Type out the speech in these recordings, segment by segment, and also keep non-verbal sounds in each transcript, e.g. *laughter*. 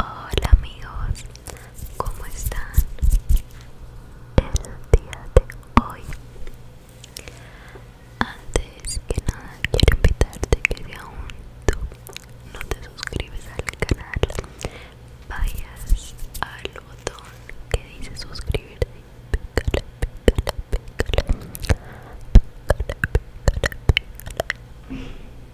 Hola amigos, ¿cómo están? El día de hoy Antes que nada quiero invitarte que si tú no te suscribes al canal Vayas al botón que dice suscribirte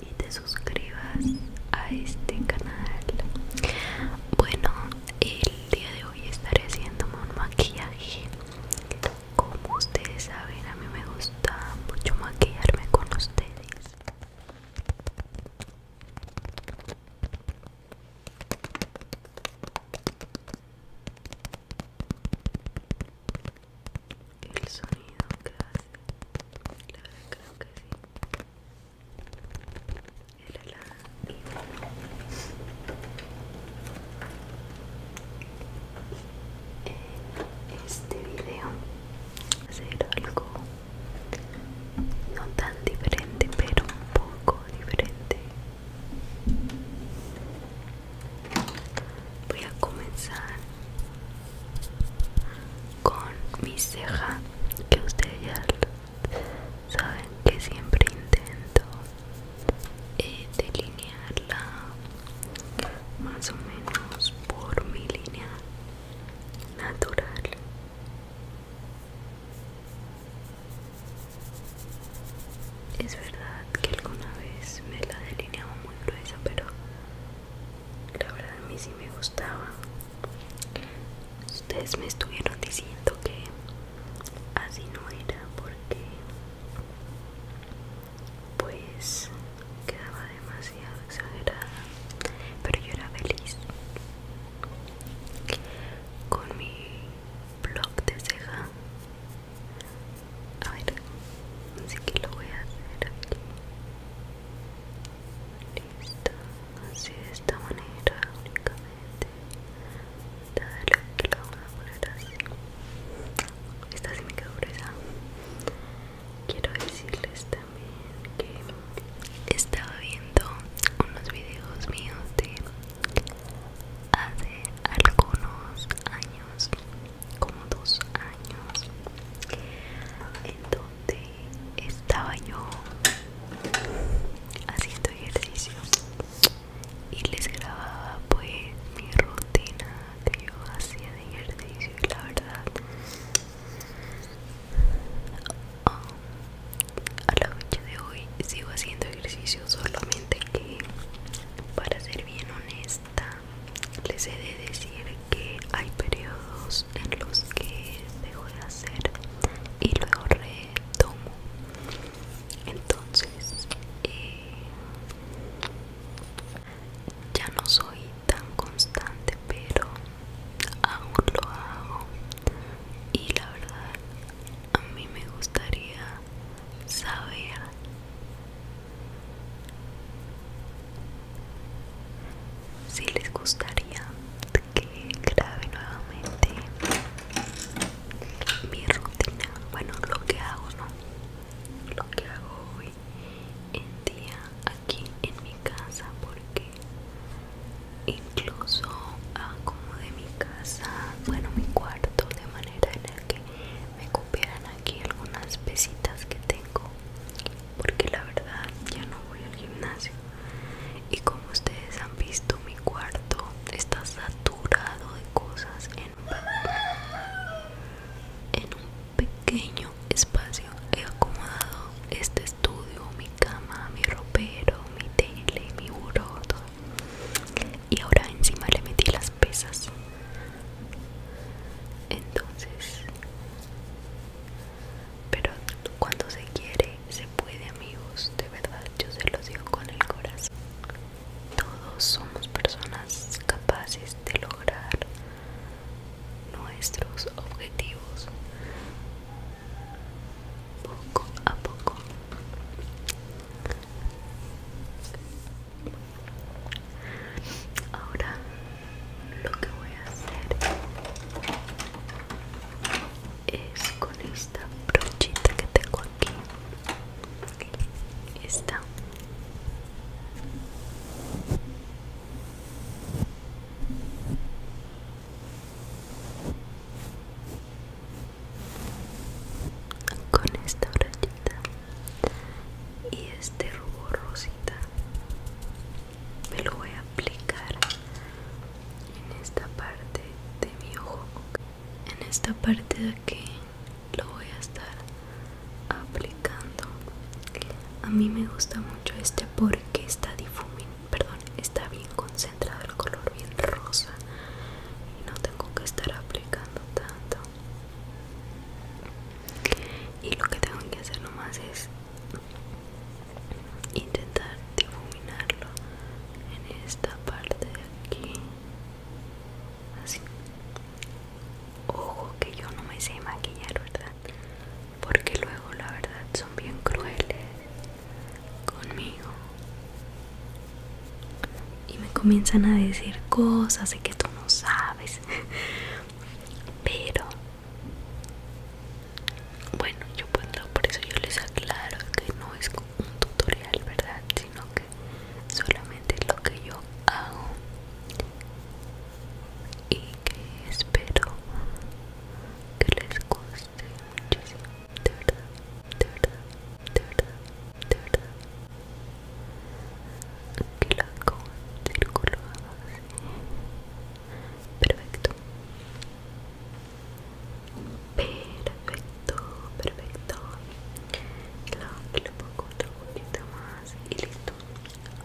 y te suscribas a este canal bueno el día de hoy estaré haciéndome un maquillaje como ustedes saben a mí me gusta mucho maquillarme con ustedes el sonido que hace la verdad creo que sí el helado en este video hacer algo no tan diferente pero un poco diferente voy a comenzar con mi ceja que ustedes ya saben que siempre intento eh, delinearla más o menos por mi línea natural es verdad que alguna vez me la delineaba pero la verdad a mí sí me gustaba ustedes me estuvieron diciendo que así no era porque pues quedaba demasiado exagerada pero yo era feliz con mi blog de ceja a ver, así que lo voy a hacer aquí. Listo, así de esta manera únicamente. Dale, que lo voy a poner así. Esta sí me quedó Quiero decirles también que estaba viendo unos videos míos de hace algunos años, como dos años, en donde estaba yo haciendo ejercicio y les grababa pues mi rutina que yo hacía de ejercicio la verdad a la noche de hoy sigo haciendo ejercicio solamente que para ser bien honesta les he de decir que hay periodos en los que dejo de hacer y luego retomo entonces eh, ya no soy tan constante pero aún lo hago y la verdad a mí me gustaría saber si les gustaría que grabe nuevamente mi rutina bueno lo que hago no lo que hago hoy en día aquí en mi casa porque incluso de mi casa bueno mi cuarto de manera en el que me copiaran aquí algunas pesitas que tengo porque la verdad ya no voy al gimnasio y como ustedes han visto mi cuarto está saturado de cosas en un, en un pequeño espacio he acomodado este estudio mi cama mi ropero mi tele mi buró todo y ahora encima le metí las pesas entonces pero cuando se quiere se puede amigos de verdad yo se los digo con el corazón todos somos personas capaces de lograr nuestros objetivos poco a poco ahora lo que voy a hacer es con esta brochita que tengo aquí esta con esta rayita y este rubor rosita me lo voy a aplicar en esta parte de mi ojo en esta parte de aquí lo voy a estar aplicando a mí me gusta mucho este porque está difuminado perdón, está bien concentrado el color, bien rosa y no tengo que estar aplicando tanto y lo que tengo que hacer nomás es intentar difuminarlo en esta parte de aquí así ojo que yo no me sé maquillar verdad porque luego la verdad son bien crueles conmigo y me comienzan a decir cosas de que tú no sabes *laughs* pero bueno yo puedo por eso yo les aclaro que no es un tutorial verdad sino que solamente es lo que yo hago y que espero que les guste guste muchísimo, de verdad, de verdad, de verdad, de verdad. Que la haga como un círculo así. Perfecto. Perfecto, perfecto. Claro, que le pongo otro poquito más y listo.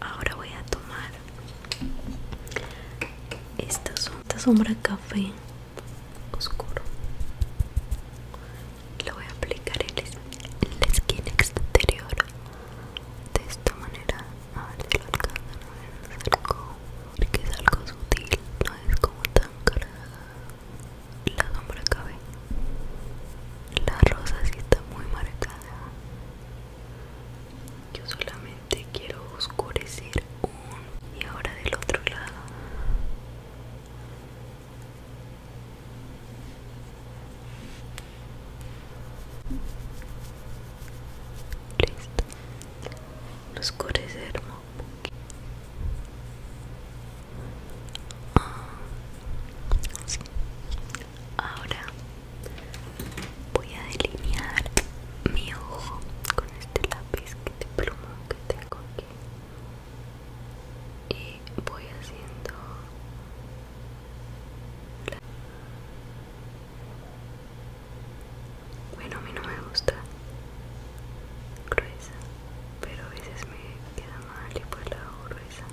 Ahora voy a tomar esta, sombra café oscuro lo voy a aplicar en, la esquina exterior de esta manera a ver si lo alcanzan a ver es algo, porque es algo sutil no es como tan cargada la sombra café la rosa si está muy marcada yo solamente quiero oscurecer un y ahora del otro lado listo un ah, ahora voy a delinear mi ojo con este lápiz que pluma que tengo aquí y voy haciendo bueno a mí no me gusta gruesa pero a veces me queda mal y pues la hago gruesa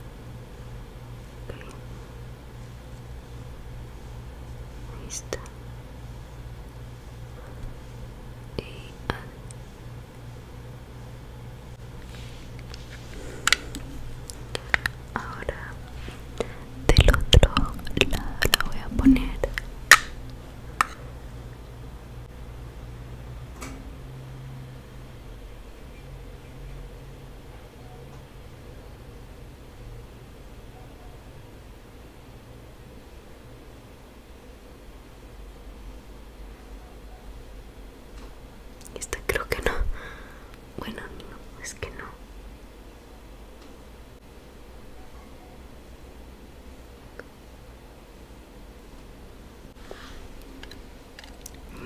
Ah. ahora del otro lado la voy a poner. Esta creo que no. Bueno, no, es que no.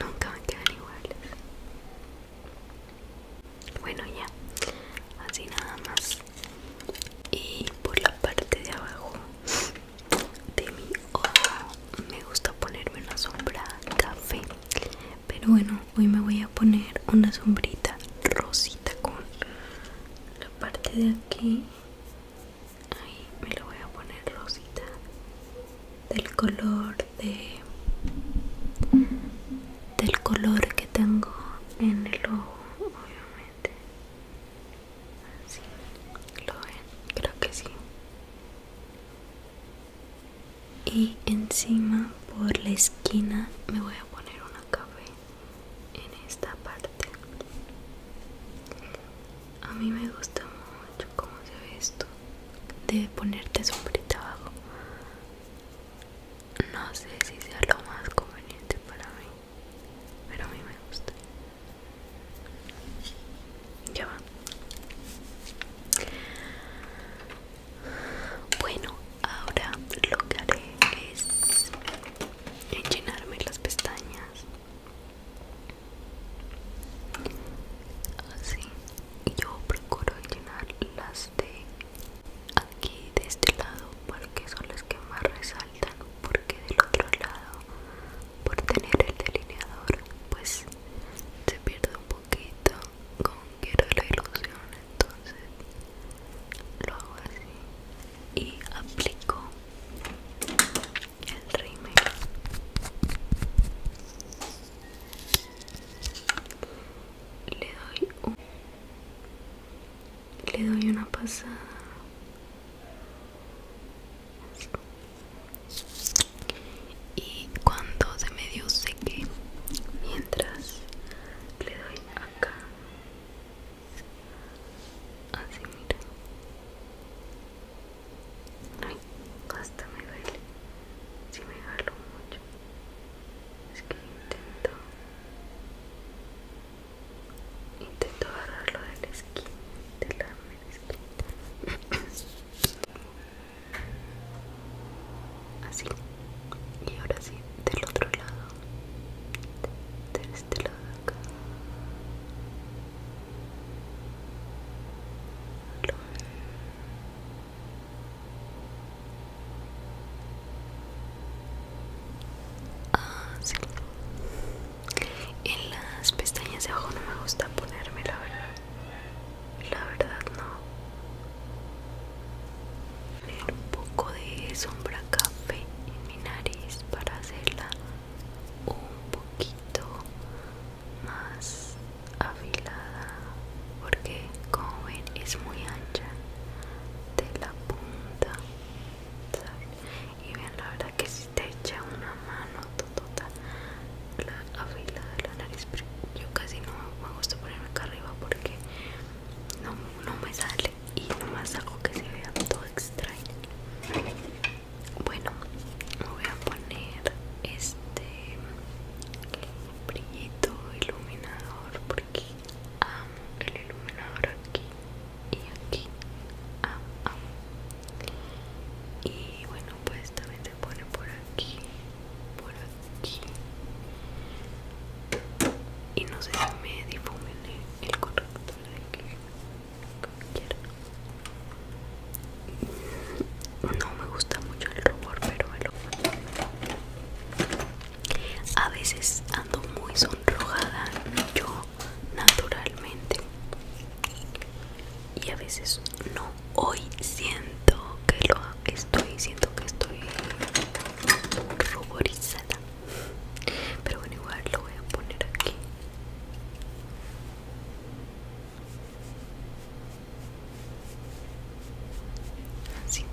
Nunca me quedan iguales bueno ya así nada más y por la parte de abajo de mi ojo me gusta ponerme una sombra café pero bueno hoy me voy a poner una sombrita rosita con la parte de aquí ahí me lo voy a poner rosita del color de del color que tengo en el ojo obviamente así lo ven creo que sí y encima por la esquina me voy a poner una café en esta parte a mí me gusta cómo se ve esto de ponerte sombrita abajo no sé si sea lo más conveniente para mí pero a mí me gusta ya va bueno ahora lo que haré es llenarme las pestañas así yo procuro llenar las de aquí de este lado porque son las que más resaltan porque del otro lado por tener el delineador pues se pierde un poquito como quiero la ilusión entonces lo hago así y aplico el rímel le doy un, le doy una pasada y cuando se medio seque mientras le doy acá así mira Ay, hasta me duele. Si me jalo mucho. Es que intento. Intento agarrarlo de la esquina. De la, mesquita. Así. Y ahora sí, del otro lado. De este lado de acá. Ah, En las pestañas de abajo no me gusta ponerme, la verdad. La verdad no. un poco de sombra café en mi nariz para hacerla un poquito más afilada porque como ven es muy ancha de la punta y vean la verdad que si te echa una mano total afilada la nariz yo casi no me gusta ponerme acá arriba porque no, no me sale y nomás hago que se vea todo extraño bueno, me voy a poner este brillito iluminador porque amo el iluminador aquí y aquí. Amo, Y bueno, pues también se pone por aquí, por aquí. Y no sé me difumine el corrector de aquí. No me gusta mucho el rubor, pero a veces ando muy sonrojada yo naturalmente. Y a veces no. Hoy siento que lo estoy, siento que estoy ruborizada pero bueno igual lo voy a poner aquí así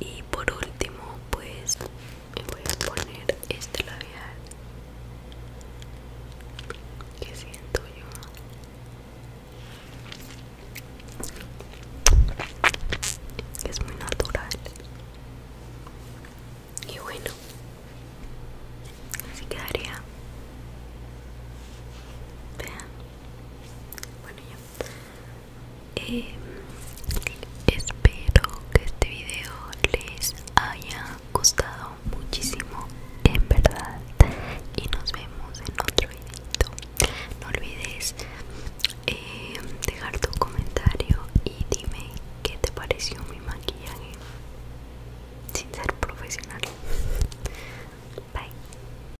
y por último pues me voy a poner este labial que siento yo es muy natural y bueno así quedaría vean bueno ya eh, espero que este video les haya gustado muchísimo en verdad y nos vemos en otro video no olvides eh, dejar tu comentario y dime qué te pareció mi maquillaje sin ser profesional bye